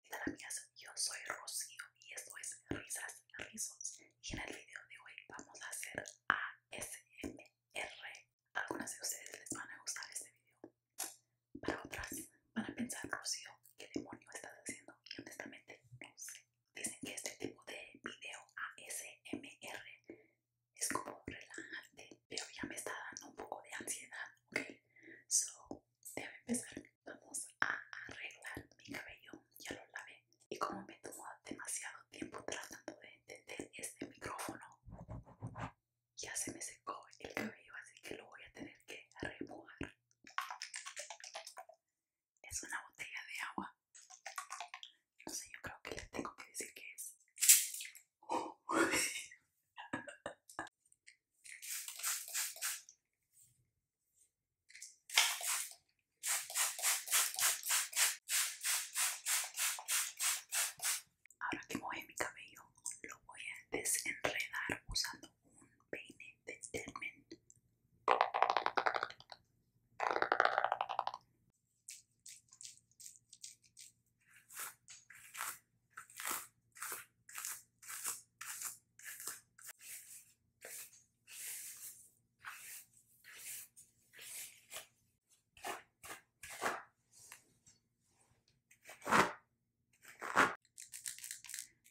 Hola amigas, yo soy Rocío y esto es Risas Rizos y en el video de hoy vamos a hacer ASMR. Algunas de ustedes les van a gustar este video, para otras van a pensar Rocío, ¿qué demonio estás haciendo? Y honestamente no sé. Dicen que este tipo de video ASMR es como relajante, pero ya me está dando un poco de ansiedad, ¿ok? So, debe empezar. Vamos a arreglar mi cabello, ya lo lavé. Y como me tomó demasiado tiempo tratando de entender este micrófono, ya se me secó el cabello, así que lo voy a tener que remojar. Es una botella de agua. No sé, yo creo que les tengo que decir qué es. Ahora que mojé mi cabello, lo voy a desenredar usando un peine de termin.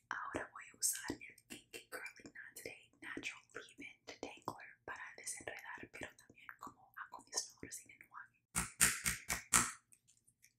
Ahora voy a usar el Kinky Curly Knot Day Natural Leave-In Detangler para desenredar, pero también como acondicionador sin enjuague.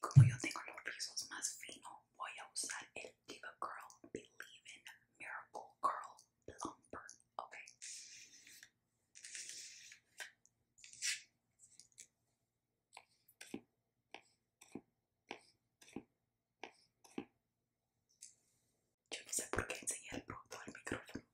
Como yo tengo los rizos más finos, voy a usar el Diva Girl Believe in Miracle Curl Plumper. Ok. Yo no sé por qué enseñar el producto al micrófono.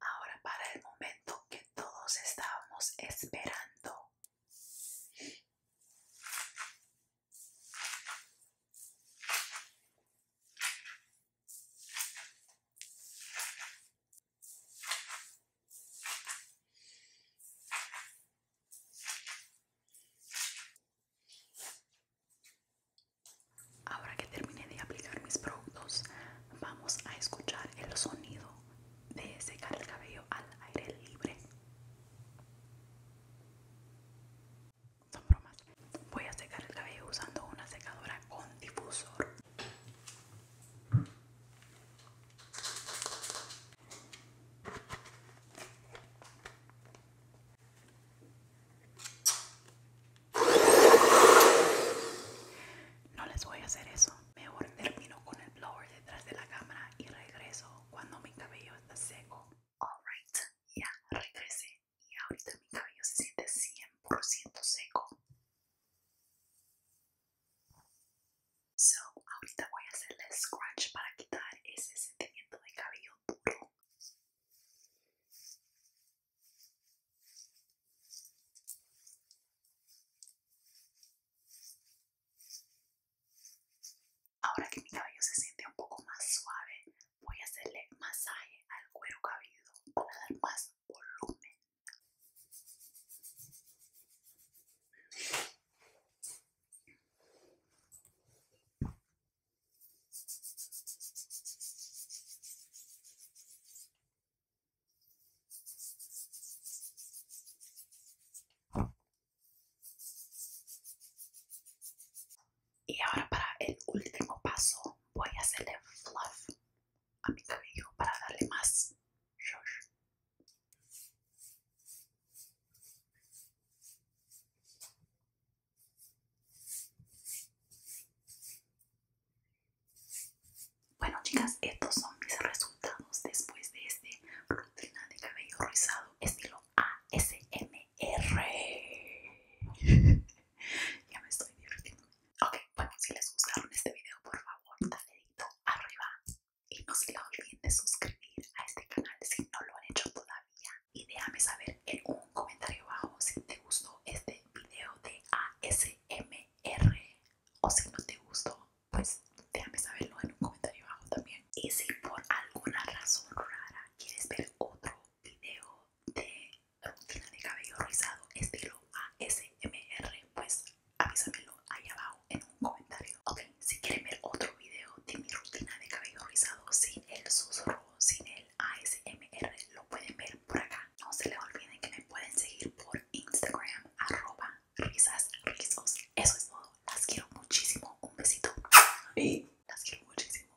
Ahora para el momento que todos estábamos esperando. Ahora que terminé de aplicar mis productos, vamos a escuchar el sonido de secar el cabello al aire libre son bromas. Voy a secar el cabello usando una secadora con difusor. No les voy a hacer eso. Mejor termino con el blower detrás de la cámara y regreso cuando mi cabello está seco. Alright, ya regresé y ahorita mi cabello se siente 100% seco. So, ahorita voy a hacerle scratch para quitar ese sentimiento de cabello duro. Ahora que mi cabello se siente un poco más suave, voy a hacerle masaje al cuero cabelludo para dar más volumen. Y ahora para el último paso voy a hacerle fluff a mi cabello para darle más shush. Bueno chicas, estos son mis resultados después de este rutina de cabello rizado estilo ASM R, ya me estoy divirtiendo. Ok, bueno, si les gustaron este video, por favor, dale dedito arriba. Y no se olviden de suscribir a este canal si no lo han hecho todavía. Y déjame saber en un comentario abajo si te gustó este video de ASMR. O si no te gustó, pues déjame saberlo en un comentario abajo también. Y si por alguna razón rara quieres ver otro video de rutina de cabello rizado estilo ASMR, pues lo ahí abajo en un comentario. Ok, si quieren ver otro video de mi rutina de cabello rizado sin el susurro, sin el ASMR, lo pueden ver por acá. No se les olviden que me pueden seguir por Instagram, arroba risas Eso es todo. Las quiero muchísimo. Un besito. y Las quiero muchísimo.